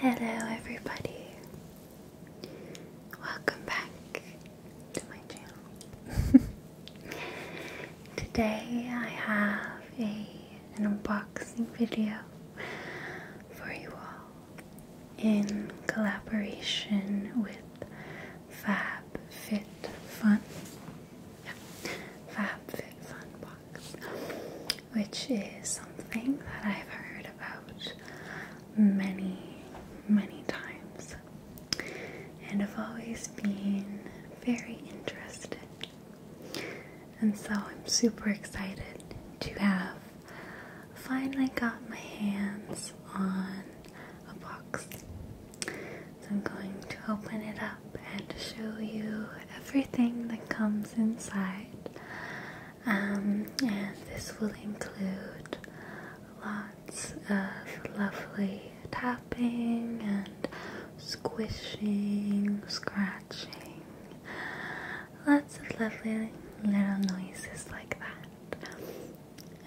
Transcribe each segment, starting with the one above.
Hello, everybody. Welcome back to my channel. Today I have a unboxing video for you all in collaboration with Fab Fit Fun box which is something that I've heard about many, many times, and have always been very interested. And so I'm super excited to have finally got my hands on a box. So I'm going to open it up and show you everything that comes inside, um, and this will include lots of lovely tapping and squishing, scratching, lots of lovely little noises like that.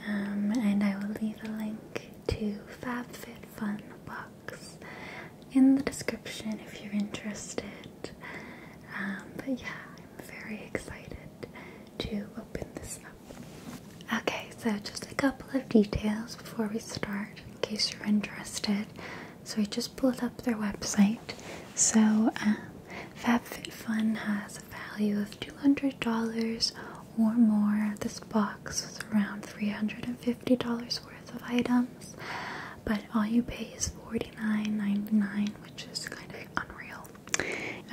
Um, and I will leave a link to FabFitFun books in the description if you're interested um, but yeah, I'm very excited to open this up. Okay, so just a couple of details before we start, in case you're interested. So I just pulled up their website. So um, FabFitFun has a value of $200 or more. This box was around $350 worth of items but all you pay is $49.99, which is kind of unreal.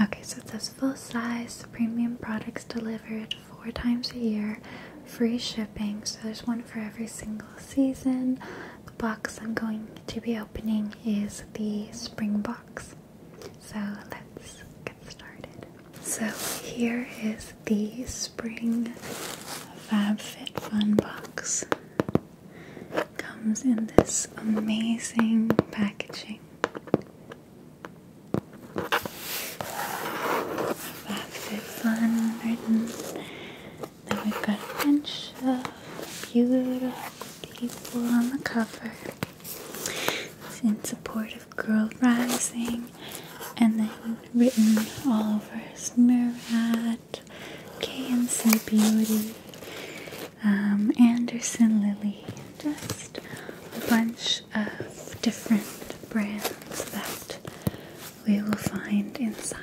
Okay, so it says full size, premium products delivered four times a year, free shipping. So there's one for every single season. The box I'm going to be opening is the spring box. So let's get started. So here is the spring FabFitFun box comes in this amazing packaging After fun written. Then we've got a bunch of beautiful people on the cover. It's in support of Girl Rising, and then written all over Smearad that KNC Beauty, um, Anderson Lily, just a bunch of different brands that we will find inside.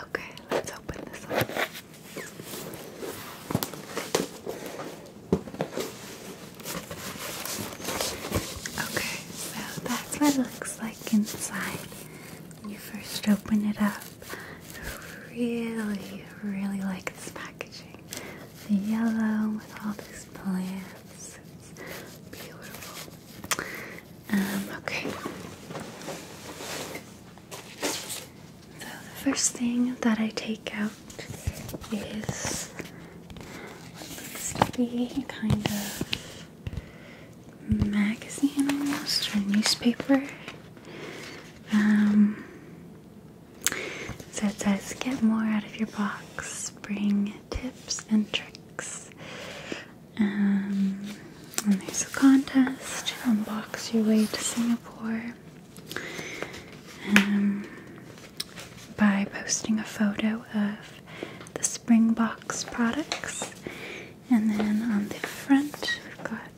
Okay, let's open this up. Okay, so that's what it looks like inside. When you first open it up. I really, really like this packaging. The yellow with all these plants. It's beautiful. Um, okay. So the first thing that I take out is what looks to be kind of magazine or newspaper. Um, so it says, get more out of your box, bring tips and tricks. Um, and there's a contest, unbox your way to Singapore um, by posting a photo of the Springbox products. And then on the front, we've got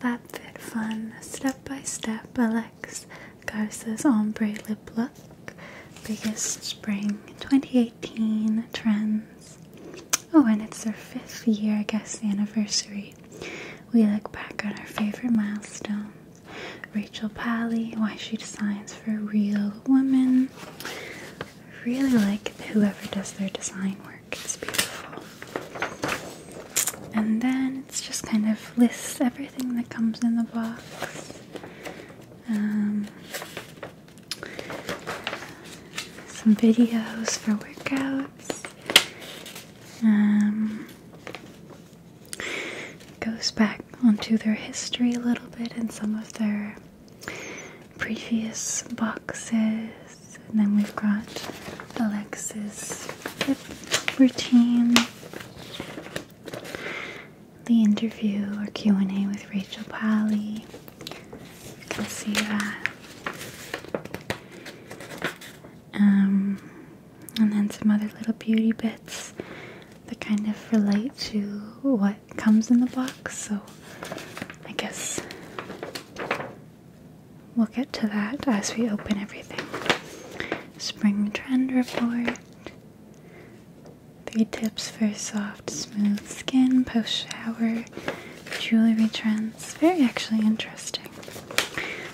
FabFitFun Step by Step Alex Garza's Ombre Lip Look, biggest spring 2018 trends. Oh, and it's our fifth year, I guess, anniversary. We look back on our favorite milestones. Rachel Pally, Why She Designs for Real Women, I really like whoever does their design work, it's beautiful. And then it's just kind of lists everything that comes in the box. Um, some videos for workouts. Um, goes back onto their history a little bit and some of their previous boxes. And then we've got Alexa's routine, the interview or Q&A with Rachel Pally. You can see that. Um, and then some other little beauty bits that kind of relate to what comes in the box, so I guess we'll get to that as we open everything. Spring Trend Report. Three tips for soft, smooth skin post shower, jewelry trends. Very actually interesting.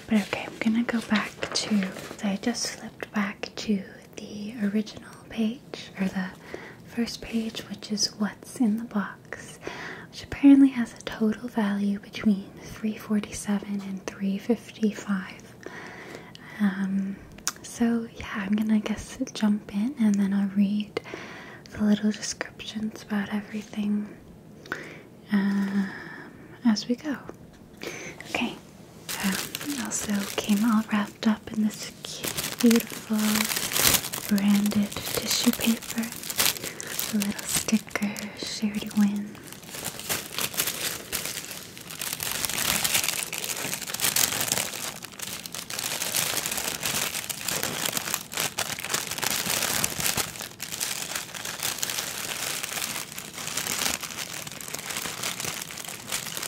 But okay, I'm gonna go back to. I just flipped back to the original page, or the first page, which is what's in the box, which apparently has a total value between 347 and 355. Um, so, yeah, I'm gonna guess jump in and then I'll read the little descriptions about everything um, as we go. Okay, um, also came all wrapped up in this beautiful branded tissue paper. A little sticker, Sherry Win.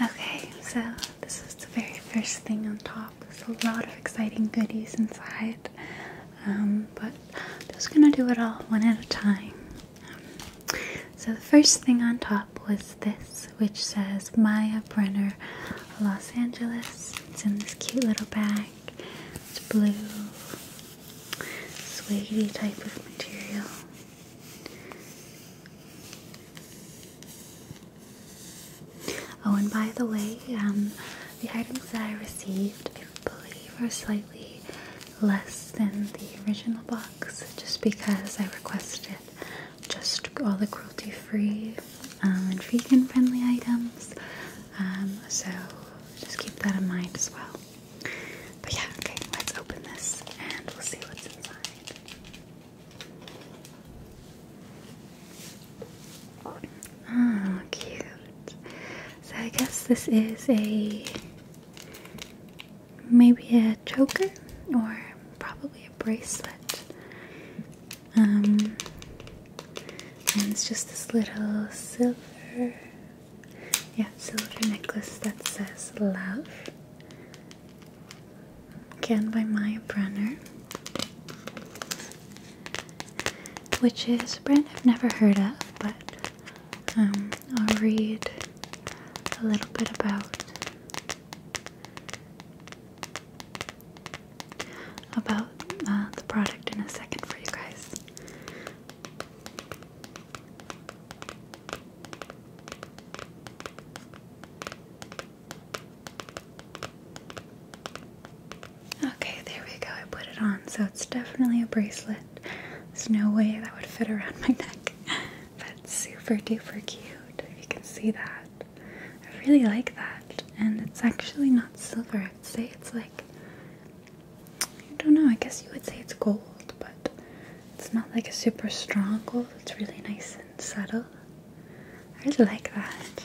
Okay, so this is the very first thing on top. There's a lot of exciting goodies inside, um, but I'm just gonna do it all one at a time. Um, so the first thing on top was this, which says Maya Brenner, Los Angeles. It's in this cute little bag. It's blue, swaggy type of material. Oh, and by the way, um, the items that I received, I believe, are slightly less than the original box just because I requested just all the cruelty free um, and vegan friendly items. Um, so just keep that in mind as well. But yeah, okay, let's open this and we'll see what's inside. Oh, cute. So I guess this is a maybe a choker or probably a bracelet. Um, and it's just this little silver, yeah, silver necklace that says love. Again by Maya Brunner. Which is a brand I've never heard of, but um, I'll read a little bit about about uh, the product in a second for you guys. Okay, there we go. I put it on, so it's definitely a bracelet. There's no way that would fit around my neck. That's super duper cute. If you can see that. I really like that, and it's actually not silver. I'd say it's like I don't know. I guess you would say it's gold, but it's not like a super strong gold. It's really nice and subtle. I really like that.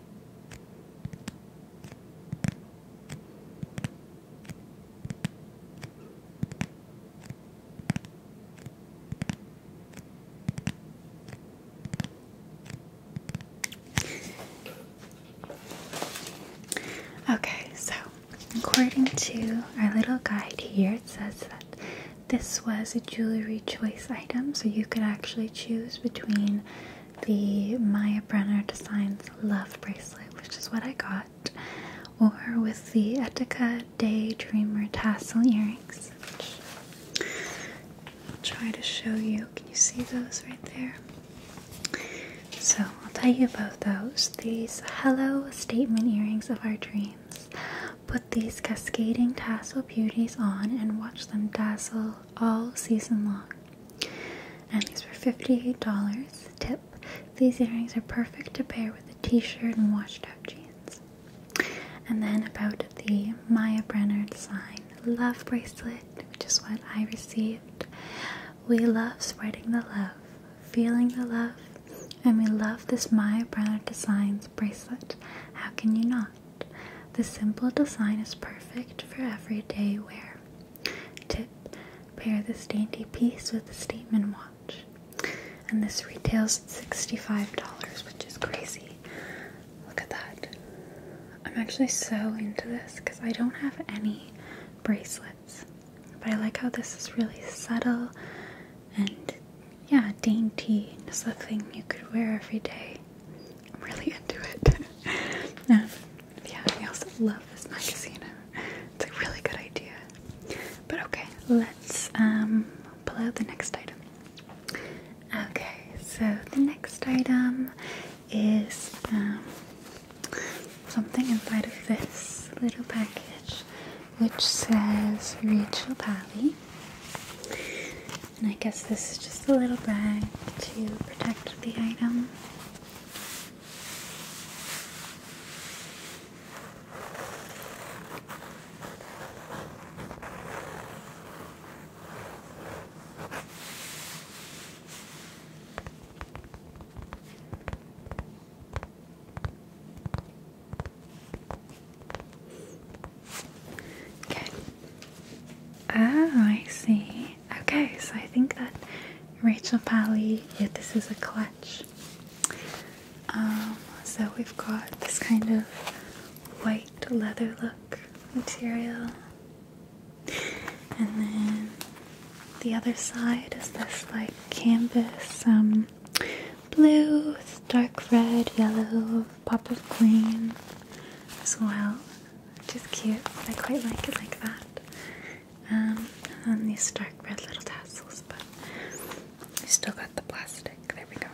Okay, so according to our little guide here, it says that this was a jewelry choice choice so you could actually choose between the Maya Brenner Designs Love Bracelet, which is what I got, or with the Etika Daydreamer tassel earrings. I'll try to show you. Can you see those right there? So I'll tell you about those. These hello statement earrings of our dreams. with these cascading tassels beauties on and watch them dazzle all season long. And these were $58. Tip These earrings are perfect to pair with a t shirt and washed out jeans. And then about the Maya Brenner design love bracelet, which is what I received. We love spreading the love, feeling the love, and we love this Maya Brenner Designs bracelet. How can you not? The simple design is perfect for everyday wear. Tip pair this dainty piece with a statement watch. And this retails at $65, which is crazy. Look at that. I'm actually so into this because I don't have any bracelets. But I like how this is really subtle and yeah, dainty. It's the thing you could wear every day. I'm really into it. Yeah, yeah, I also love this magazine. It's a really good idea. But okay, let's um, pull out the next item. Okay, so the next item is um, something inside of this little package which says Rachel Pally. And I guess this is just a little bag to protect the item. Okay. Oh, I see. Okay, so I think that Rachel Pally, yeah, this is a clutch. Um, so we've got this kind of white leather look material. And then the other side is this like canvas, um, blue dark red, yellow, pop of green as well, just cute. I quite like it like that. Um, and these dark red little tassels, but I still got the plastic. There we go.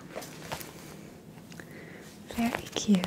Very cute.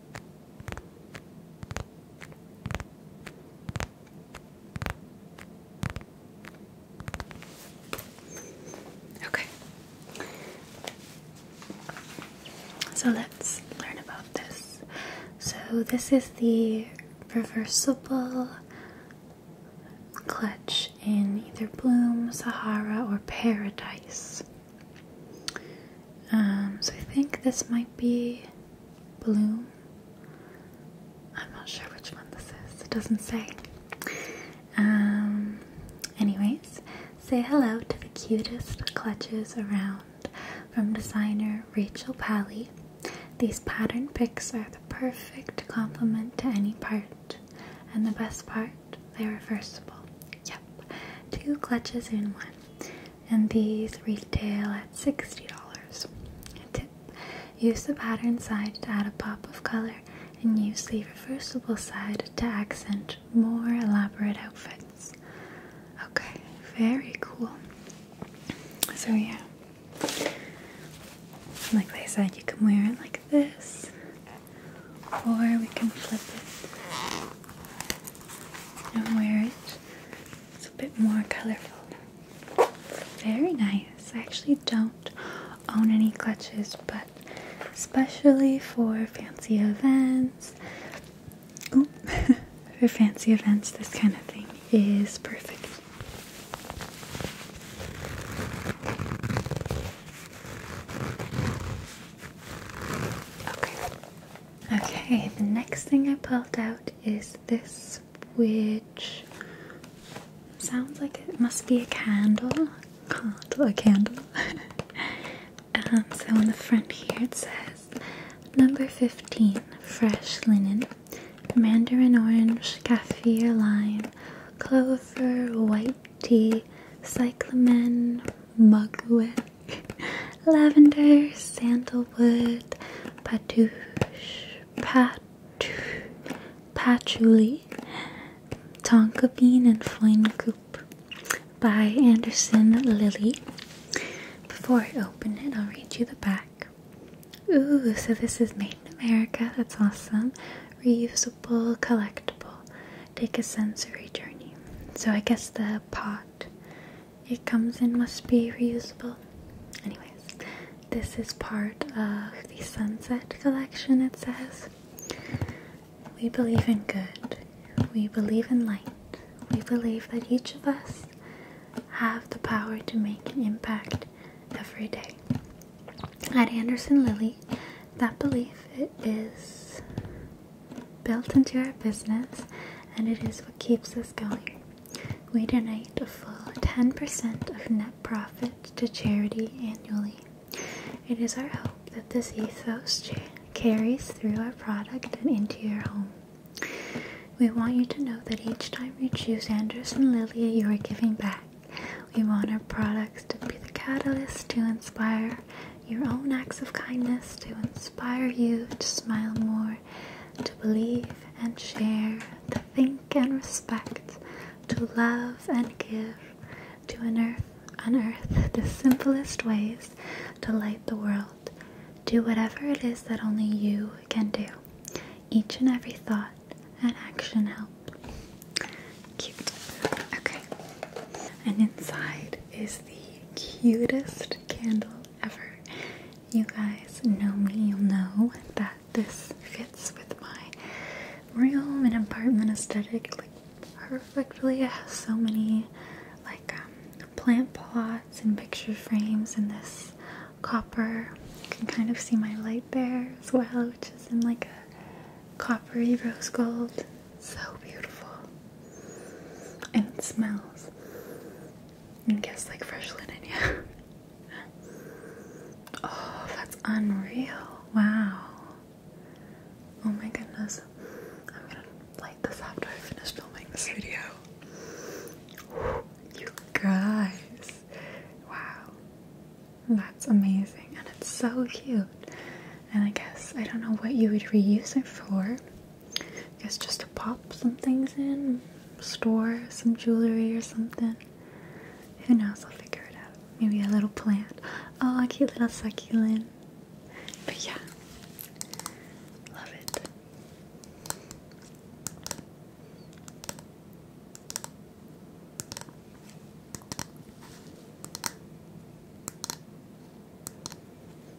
Okay. So let's learn about this. So, this is the reversible clutch in either Bloom, Sahara, or Paradise. Um, so, I think this might be Bloom. I'm not sure which one this is. It doesn't say. Um, anyways, say hello to the cutest clutches around from designer Rachel Pally. These pattern picks are the perfect complement to any part. And the best part, they're reversible. Yep, two clutches in one and these retail at $60. Tip. Use the pattern side to add a pop of color and use the reversible side to accent more elaborate outfits. Okay, very cool. So yeah, like I said, you can wear it like this or we can flip it and wear it it's a bit more colorful. Very nice. I actually don't own any clutches, but especially for fancy events, for fancy events, this kind of thing is perfect. Okay, Okay, the next thing I pulled out is this, which sounds like it must be a candle. Candle, a candle. Um, so on the front here it says number 15 fresh linen, mandarin orange, kaffir lime, clover, white tea, cyclamen, mugwort, Lavender, sandalwood, patouche, pat patchouli, tonka bean, and foin goop by Anderson Lilly. Before I open it, I'll read you the back. Ooh, so this is made in America. That's awesome. Reusable, collectible. Take a sensory journey. So I guess the pot it comes in must be reusable. Anyways, this is part of the Sunset Collection, it says. We believe in good, we believe in light, we believe that each of us have the power to make an impact every day. At Anderson Lily, that belief is built into our business and it is what keeps us going. We donate a full 10% of net profit to charity annually. It is our hope that this ethos carries through our product and into your home. We want you to know that each time you choose Anders and Lilia, you are giving back. We want our products to be the catalyst to inspire your own acts of kindness to inspire you to smile more, to believe and share, to think and respect, to love and give, to unearth, unearth the simplest ways to light the world. Do whatever it is that only you can do. Each and every thought and action helps. Cute. Okay. And inside is the cutest candle ever you guys know me, you'll know that this fits with my room and apartment aesthetic like perfectly. It has so many like um, plant pots and picture frames and this copper. You can kind of see my light there as well, which is in like a coppery rose gold. So beautiful. And it smells. And guess like fresh linen, yeah. oh, that's unreal. Wow. Oh my goodness. I'm gonna light this after I finish filming this video. You guys. Wow. That's amazing. And it's so cute. And I guess I don't know what you would reuse it for guess just to pop some things in, store some jewelry or something. Who knows? I'll figure it out. Maybe a little plant. Oh, a cute little succulent. But yeah, love it.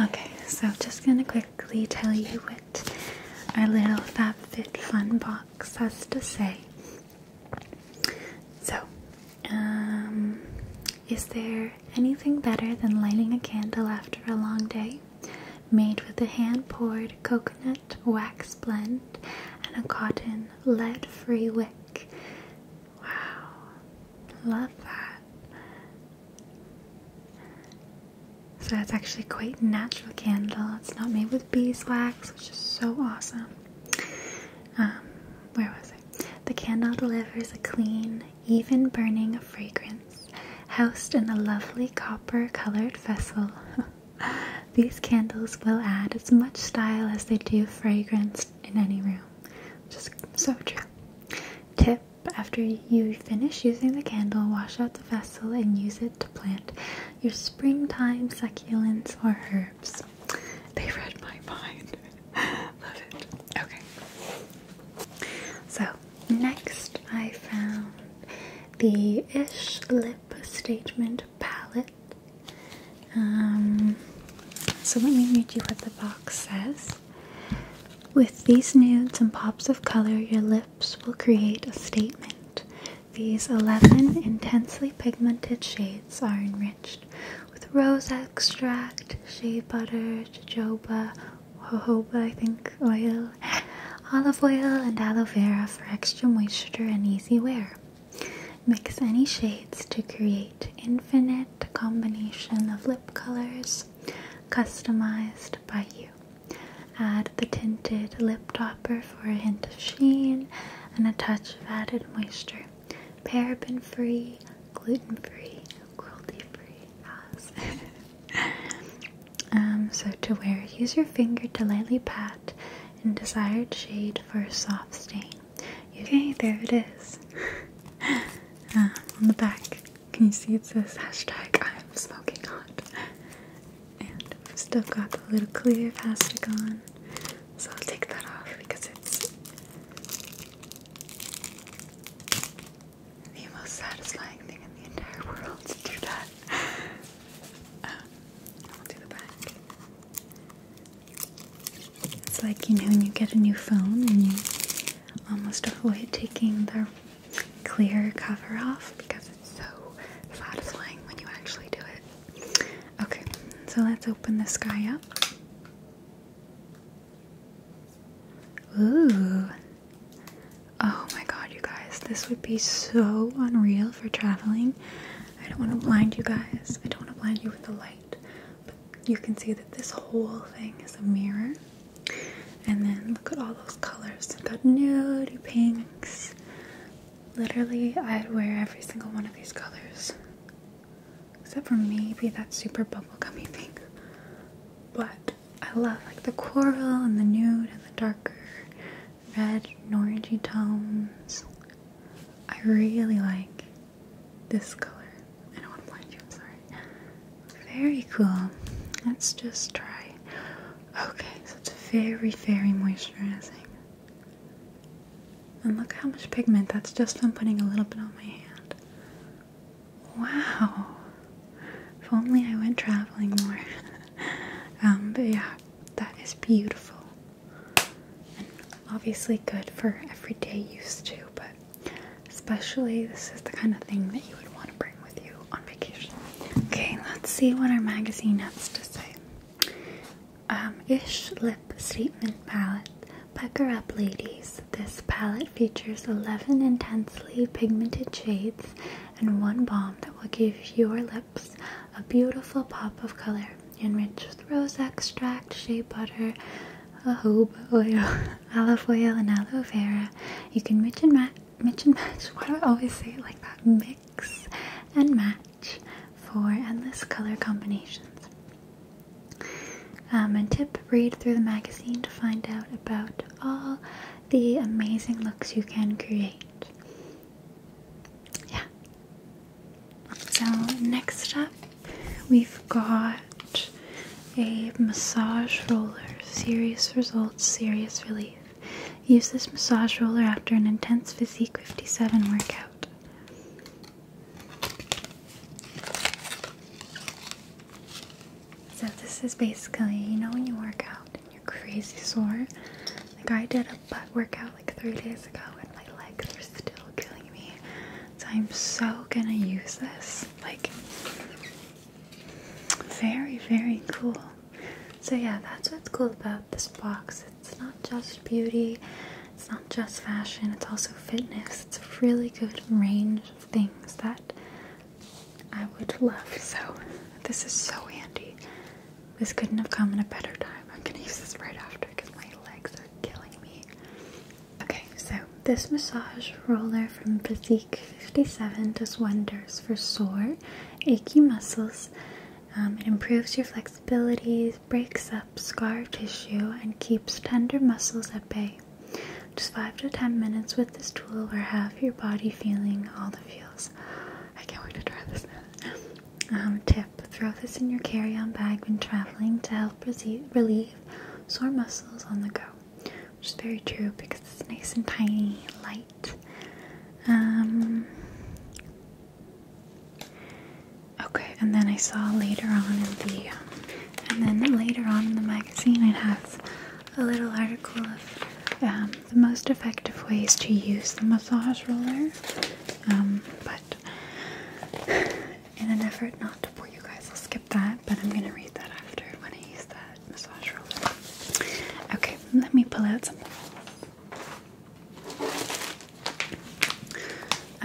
Okay, so just gonna quickly tell you what our little FabFitFun box has to say. So, um, is there anything better than lighting a candle after a long day? Made with a hand poured coconut wax blend and a cotton lead free wick. Wow, love that. So that's actually quite natural candle. It's not made with beeswax, which is so awesome. Um, where was it? The candle delivers a clean, even burning fragrance, housed in a lovely copper-colored vessel. These candles will add as much style as they do fragrance in any room. Just so true. Tip after you finish using the candle, wash out the vessel and use it to plant your springtime succulents or herbs. They read my mind. Love it. Okay. So, next I found the Ish Lip Statement Palette. Um, so, let me read you what the box says. With these nudes and pops of color, your lips will create a statement. These 11 intensely pigmented shades are enriched with rose extract, shea butter, jojoba, jojoba, I think, oil, olive oil, and aloe vera for extra moisture and easy wear. Mix any shades to create infinite combination of lip colors customized by you. Add the tinted lip topper for a hint of sheen and a touch of added moisture. Paraben free, gluten free, cruelty free um, so, to wear, use your finger to lightly pat in desired shade for a soft stain. Okay, there it is. Um, on the back. Can you see it says hashtag I'm smoking hot? And I've still got the little clear plastic on. So I'll take that off because it's the most satisfying thing in the entire world to do that. Um, I'll do the back. It's like, you know, when you get a new phone and you almost um, avoid taking the clear cover off because it's so satisfying when you actually do it. Okay, so let's open this guy up. Ooh. Oh my god, you guys, this would be so unreal for traveling. I don't want to blind you guys. I don't want to blind you with the light, you can see that this whole thing is a mirror. And then look at all those colors. I've got nude pinks. Literally, I'd wear every single one of these colors. Except for maybe that super bubblegummy pink. But I love like the coral and the nude and the darker red and orangey tones. I really like this color. I don't want to blind you, I'm sorry. Very cool. Let's just try. Okay, so it's very, very moisturizing. And look how much pigment. That's just from putting a little bit on my hand. Wow. If only I went traveling more. um, but yeah, that is beautiful. And obviously good for everyday use too, but Especially, this is the kind of thing that you would want to bring with you on vacation. Okay, let's see what our magazine has to say. Um, ish Lip Statement Palette. Pucker up, ladies. This palette features 11 intensely pigmented shades and one balm that will give your lips a beautiful pop of color, enriched with rose extract, shea butter, jojoba oil, olive oil and aloe vera. You can mix and match. Mix and match. Why I always say like that? Mix and match for endless color combinations. Um, and tip: read through the magazine to find out about all the amazing looks you can create. Yeah. So next up We've got a massage roller, serious results, serious relief. Use this massage roller after an intense Physique 57 workout. So, this is basically you know, when you work out and you're crazy sore. Like, I did a butt workout like three days ago, and my legs are still killing me. So, I'm so gonna use this like, very, very cool. So, yeah, that's what's cool about this box. It's not just beauty, it's not just fashion, it's also fitness. It's a really good range of things that I would love. So, this is so handy. This couldn't have come in a better time. I'm gonna use this right after because my legs are killing me. Okay, so this massage roller from Physique 57 does wonders for sore, achy muscles. Um, it improves your flexibility, breaks up scar tissue, and keeps tender muscles at bay. Just 5 to 10 minutes with this tool will have your body feeling all the feels. I can't wait to try this now. Um, tip Throw this in your carry on bag when traveling to help relieve sore muscles on the go which is very true because it's nice and tiny, light. Um, okay, and then I saw later on in the, um, and then later on in the magazine, it has a little article of um, the most effective ways to use the massage roller. but in an effort not to bore you guys, I'll skip that, but I'm gonna read that after when I use that massage roller. Okay, let me pull out something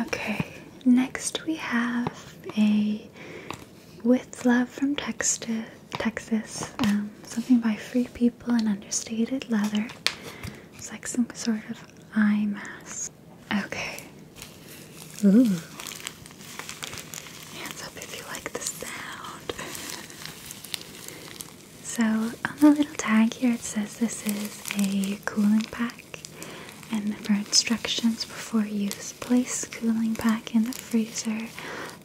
Okay, next we have a With Love from Texta, Texas, um, something by Free People and Understated Leather. It's like some sort of eye mask. Okay. Hands up if you like the sound. So, on the little tag here, it says this is a cooling pack, and for instructions before use, place cooling pack in the freezer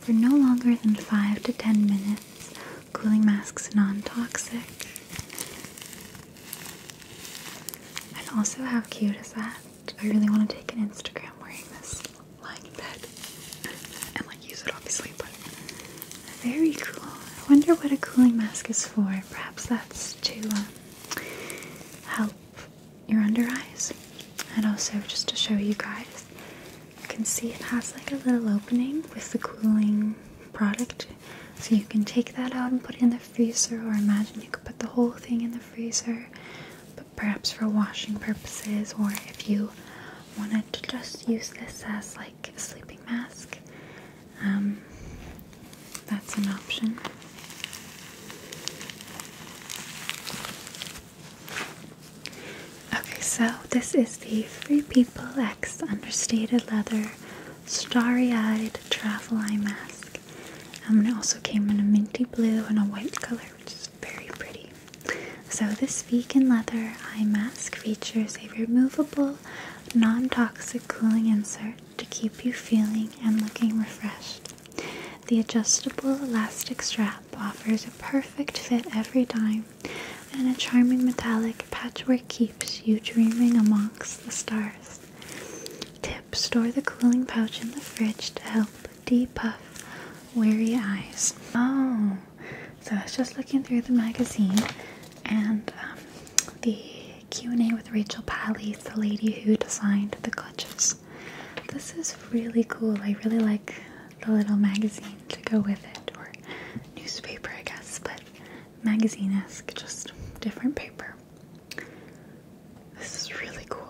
for no longer than 5 to 10 minutes. Cooling masks non toxic. And also, how cute is that? I really want to take an Instagram wearing this lying in bed? and like use it obviously, very cool. I wonder what a cooling mask is for. Perhaps that's to um, help your under eyes. And also just to show you guys, you can see it has like a little opening with the cooling product. So you can take that out and put it in the freezer or imagine you could put the whole thing in the freezer, but perhaps for washing purposes, or if you wanted to just use this as like a sleeping mask, um, that's an option. Okay, so this is the Free People X Understated Leather Starry Eyed Travel Eye Mask. Um, and it also came in a minty blue and a white color, which is very pretty. So this vegan leather eye mask features a removable, non-toxic cooling insert to keep you feeling and looking refreshed. The adjustable elastic strap offers a perfect fit every time, and a charming metallic patchwork keeps you dreaming amongst the stars. Tip Store the cooling pouch in the fridge to help depuff weary eyes. Oh, so I was just looking through the magazine and um, the Q&A with Rachel Palley's the lady who designed the clutches. This is really cool. I really like the little magazine to go with it, or newspaper, I guess, but magazine esque, just different paper. This is really cool.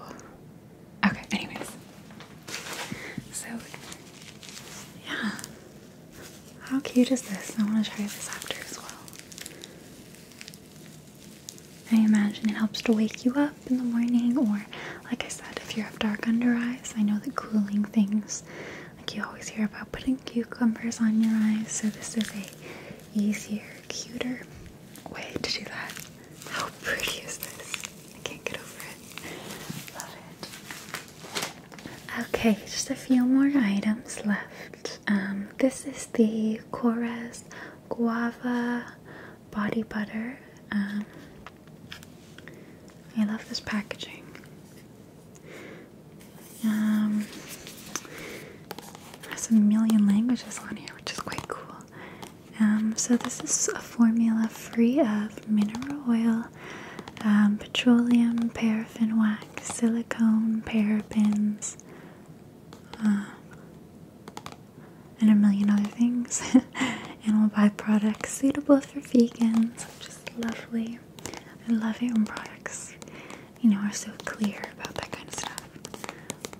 Okay, anyways. So, yeah. How cute is this? I want to try this after as well. I imagine it helps to wake you up in the morning, or like I said, if you have dark under eyes, I know that cooling things, like you always hear about putting cucumbers on your eyes, so this is a easier cuter way to do that. How pretty is this? I can't get over it. Love it. Okay, just a few more items left. Um, this is the Cora's Guava Body Butter. Um, I love this packaging. Um, has a million languages on here, which is quite cool. Um, so this is a formula free of mineral oil, um, petroleum, paraffin wax, silicone, parabens, um, and a million other things. Animal byproducts suitable for vegans, which is lovely. I love it when products, you know, are so clear about that kind of stuff.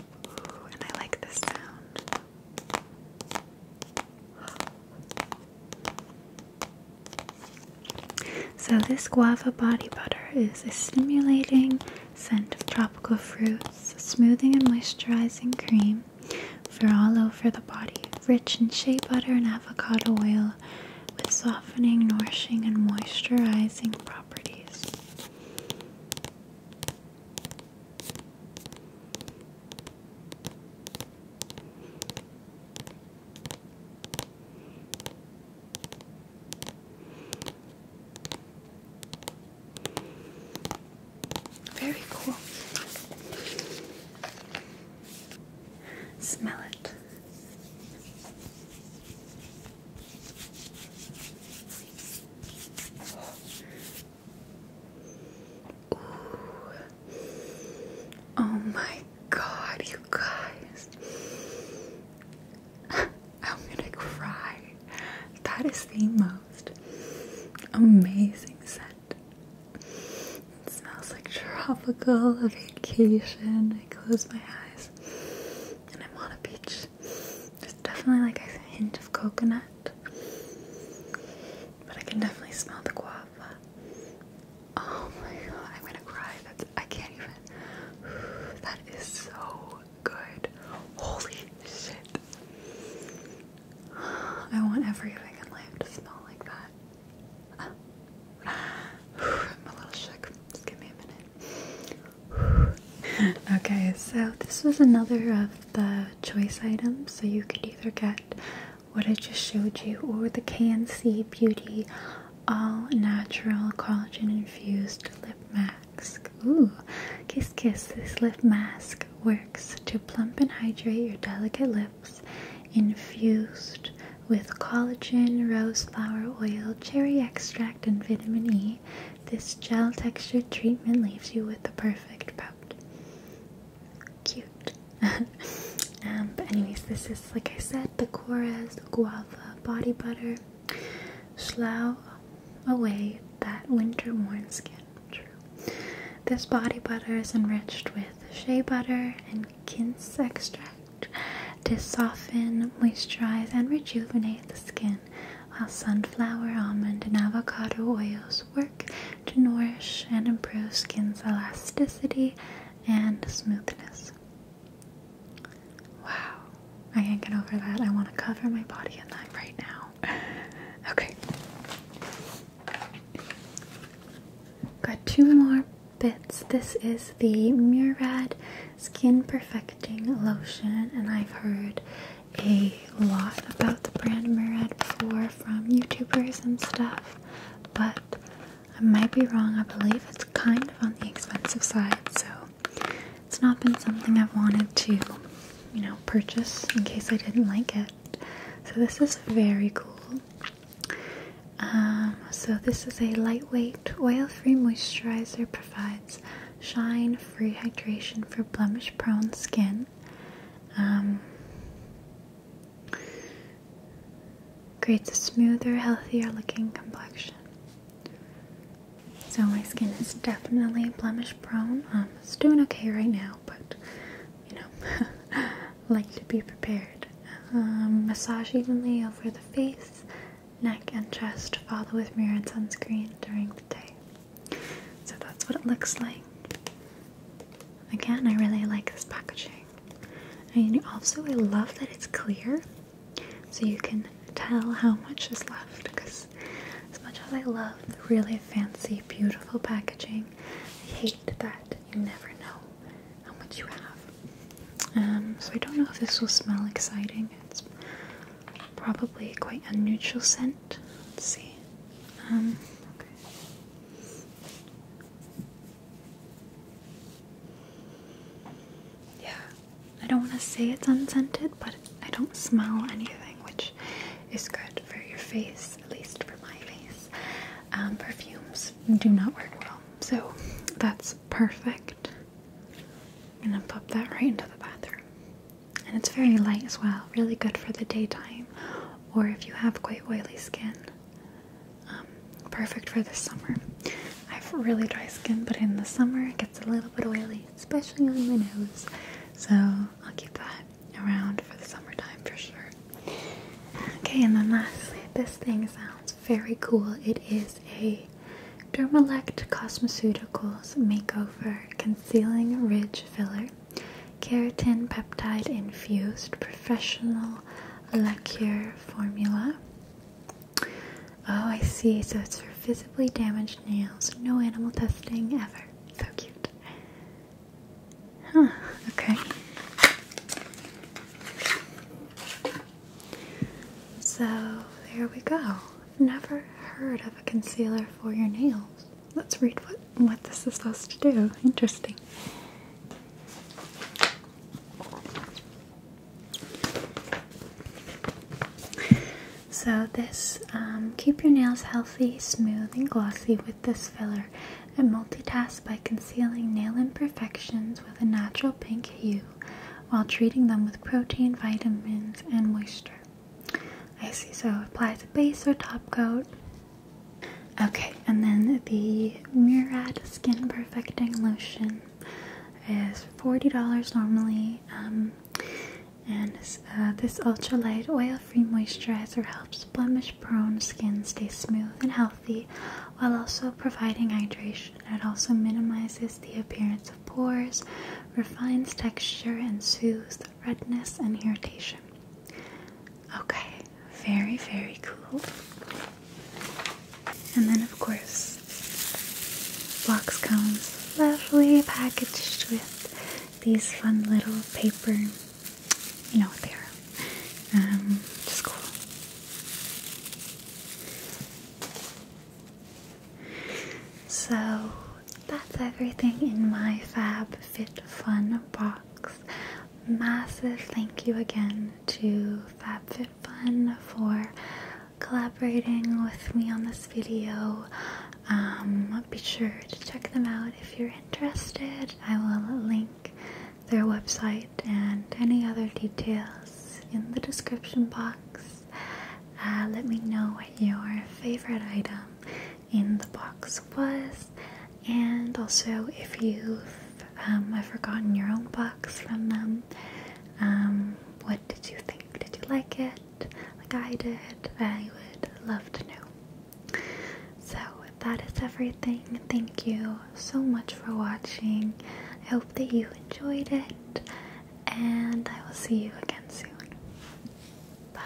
Ooh, and I like this sound. So this guava body butter is a stimulating scent of tropical fruits, smoothing and moisturizing cream for all over the body, rich in shea butter and avocado oil with softening, nourishing, and moisturizing properties. Very cool. Smell it. Oh my god, you guys. I'm gonna cry. That is the most amazing scent. It smells like tropical, vacation. I close my eyes and I'm on a beach. There's definitely like a hint of coconut. But I can definitely smell the guava. Oh my god, I'm gonna cry. That's I can't even that is so good. Holy shit. I want everything in life to smell like that. I'm a little shook. Just give me a minute. okay, so this was another of the choice items. So you could either get what I just showed you or the KNC Beauty All Natural Collagen Infused Lip Mask. Ooh, kiss kiss. This lip mask works to plump and hydrate your delicate lips, infused with collagen, rose flower oil, cherry extract, and vitamin E. This gel textured treatment leaves you with the perfect pout. Cute. Um, but anyways, this is like I said, the Cora's Guava Body Butter. Slough away that winter-worn skin. This body butter is enriched with shea butter and quince extract to soften, moisturize, and rejuvenate the skin while sunflower, almond, and avocado oils work to nourish and improve skin's elasticity and smoothness. Wow, I can't get over that. I want to cover my body in that right now. Okay. Got two more bits. This is the Murad skin perfecting lotion, and I've heard a lot about the brand Murad before from YouTubers and stuff, but I might be wrong. I believe it's kind of on the expensive side, so it's not been something I've wanted to, you know, purchase in case I didn't like it. So this is very cool. Um, so this is a lightweight, oil-free moisturizer provides shine free hydration for blemish prone skin um, creates a smoother healthier looking complexion so my skin is definitely blemish prone um, it's doing okay right now but you know like to be prepared um, massage evenly over the face neck and chest follow with mirror and sunscreen during the day. So that's what it looks like. Again, I really like this packaging. And also, I love that it's clear so you can tell how much is left because, as much as I love really fancy, beautiful packaging, I hate that you never know how much you have. Um, so, I don't know if this will smell exciting. It's probably quite a neutral scent. Let's see. Um, yeah, I don't want to say it's unscented, but I don't smell anything, which is good for your face, at least for my face. Um, perfumes do not work well, so that's perfect. I'm gonna pop that right into the bathroom. And it's very light as well, really good for the daytime, or if you have quite oily skin. Um, perfect for the summer. I have really dry skin, but in the summer it gets a little bit oily, especially on my nose. So I'll keep that around for the summertime for sure. Okay, and then lastly, this thing sounds very cool. It is a Dermalect Cosmeceuticals Makeover Concealing Ridge Filler Keratin Peptide Infused Professional Lacquer Formula. Oh, I see. So it's for visibly damaged nails. No animal testing ever. So cute. Huh, okay. So there we go never heard of a concealer for your nails. Let's read what what this is supposed to do. Interesting. So this um, keep your nails healthy, smooth, and glossy with this filler, and multitask by concealing nail imperfections with a natural pink hue while treating them with protein, vitamins, and moisture. I see, so apply the base or top coat. Okay, and then the Murad Skin Perfecting Lotion is $40 normally, um, and uh, this ultra-light, oil-free moisturizer helps blemish-prone skin stay smooth and healthy while also providing hydration it also minimizes the appearance of pores, refines texture, and soothes redness and irritation. Okay, very, very cool. And then, of course, box comes lovely packaged with these fun little paper, you know what they are. Um, just cool. So that's everything in my Fab Fit Fun box. Massive thank you again to FabFitFun for collaborating with me on this video. Um, be sure to check them out if you're interested. I will link their website and any other details in the description box. Uh, let me know what your favorite item in the box was, and also if you've um, forgotten your own box from them. Um, what did you think? Did you like it? Like I did? I would love to know. So, that is everything. Thank you so much for watching. I hope that you enjoyed it and I will see you again soon. Bye.